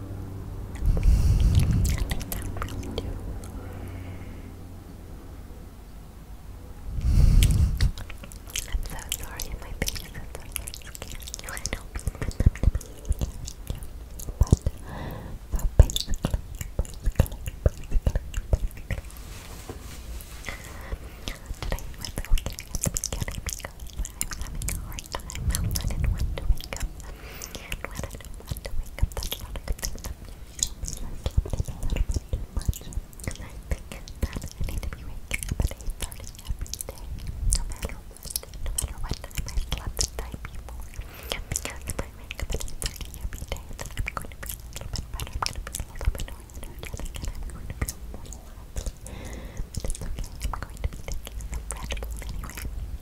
like that really do. I'm so sorry, my fingers are so scared. I know people put them to me, but so uh, basically, basically, basically, Today was okay at the beginning when I'm having a hard time, I didn't want to wake up. I don't want to wake up, that's not a good thing. That means I slept in a little bit too much. Because I think that I need to be waking up at 8.30 every day, no matter what. No matter what time I slept the night before. Because if I wake up at 8.30 every day, then I'm going to be a little bit better. I'm going to be a little bit more energetic, and I'm going to feel more lovely. But it's okay, I'm going to be taking some Red Bull anyway.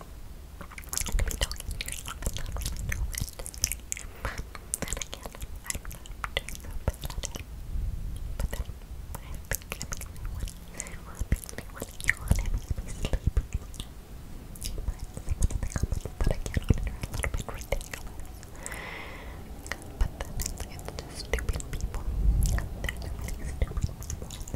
I'm gonna be talking to yourself and not really know what to say. Then again, I'm not too sympathetic. But then, I think it makes me want to want to yawn and make me sleepy. But some of the comments that I get on it are a little bit ridiculous. But then, it's, it's just stupid people. There's really stupid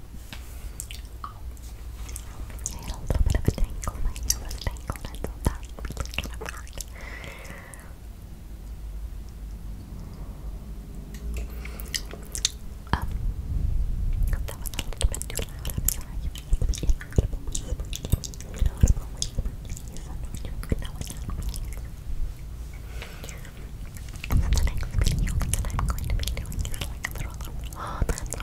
I had a little bit of a tangle, my hair was tangled, and so that was really kind of hard. Um, that was a little bit too loud, I'm sorry. It's an audible whisper, it's an audible whisper. It's an audible whisper, no, it's not me. And then the next video that I'm going to be doing is like a little, little, oh, that's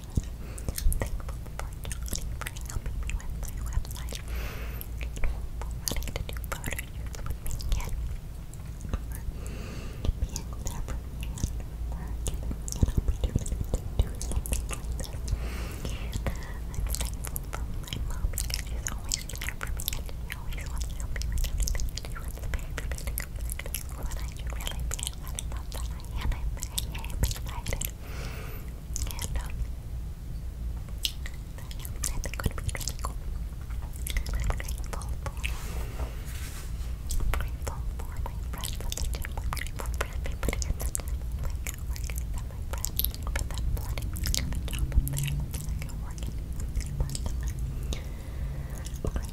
I'm thankful for Johnny for helping me with my website. And wanting to do photo shoots with me again. Being there for me and giving me an opportunity to something like this. thankful for my mom she's always there for me she always wants to help me with everything. She wants to pay for me to I really be excited that. I'm yeah, i And um, I think it would be really cool. grateful for, grateful for my friends grateful for My friends grateful. Uh, I'm grateful. grateful. I'm grateful. grateful. I'm grateful. grateful. I'm grateful. grateful. I'm grateful.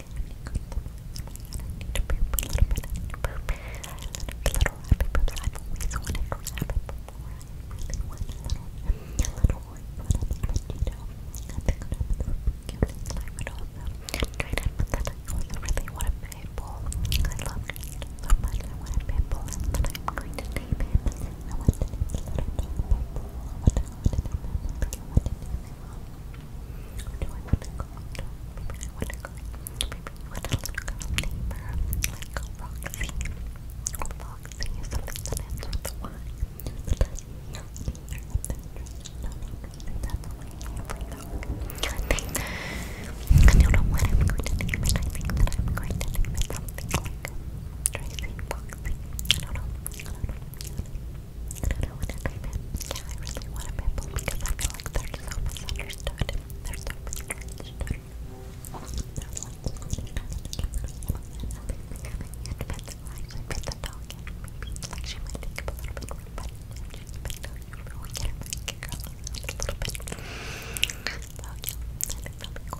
need to poop a little bit. I need to poop. A little happy poop that I've always wanted for happy before. I really want a little, a little one, but I think that, you know, I think that would be really cute and slime it off. And try to put that I also really want a maple. I love it so much. I want a maple, and then I'm going to name him. I want to name the little dog maple. I want to, I want to name him. I want to name him do I want to go to I want to go with a little girl neighbor like Roxy Roxy or something that ends with a Y that doesn't have any or something no, that's what I have right now I think, I don't know what I'm going to name it I think that I'm going to name it something like Tracy Roxy I don't know, I don't know, I don't know I do Yeah, I really want to rip because I feel like they're so misunderstood. They're so misunderstood. They're like, I fit the dog in. Maybe, like, she might take up a little bit more, but if she's been doing it for a week, I'm going to girl a little bit. So, yeah, I think that'll be cool.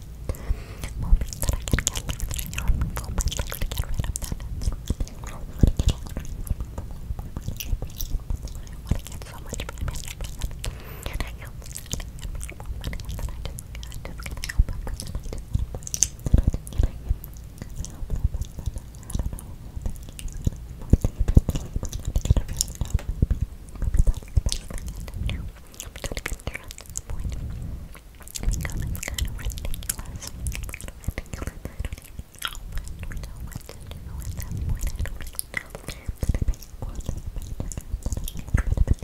moments that I can get like through your moment, like to get rid of that. I want to get all I want to get so much from myself, and I help every moment, and then I just, I just can help them, and then I just, and I just, and I just help them, and then I don't know, Maybe that's the best thing I can do. I'm trying to get through at this point. It's kind of ridiculous. ridiculous. I don't even know what, know what to do at that point. I don't even know that I make a cool little bit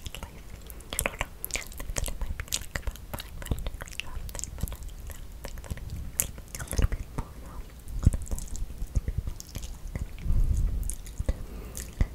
like that. I don't know. I think that it might be like about five minutes or something, but I think that it's a little bit more long. But I think that it's a little bit more long.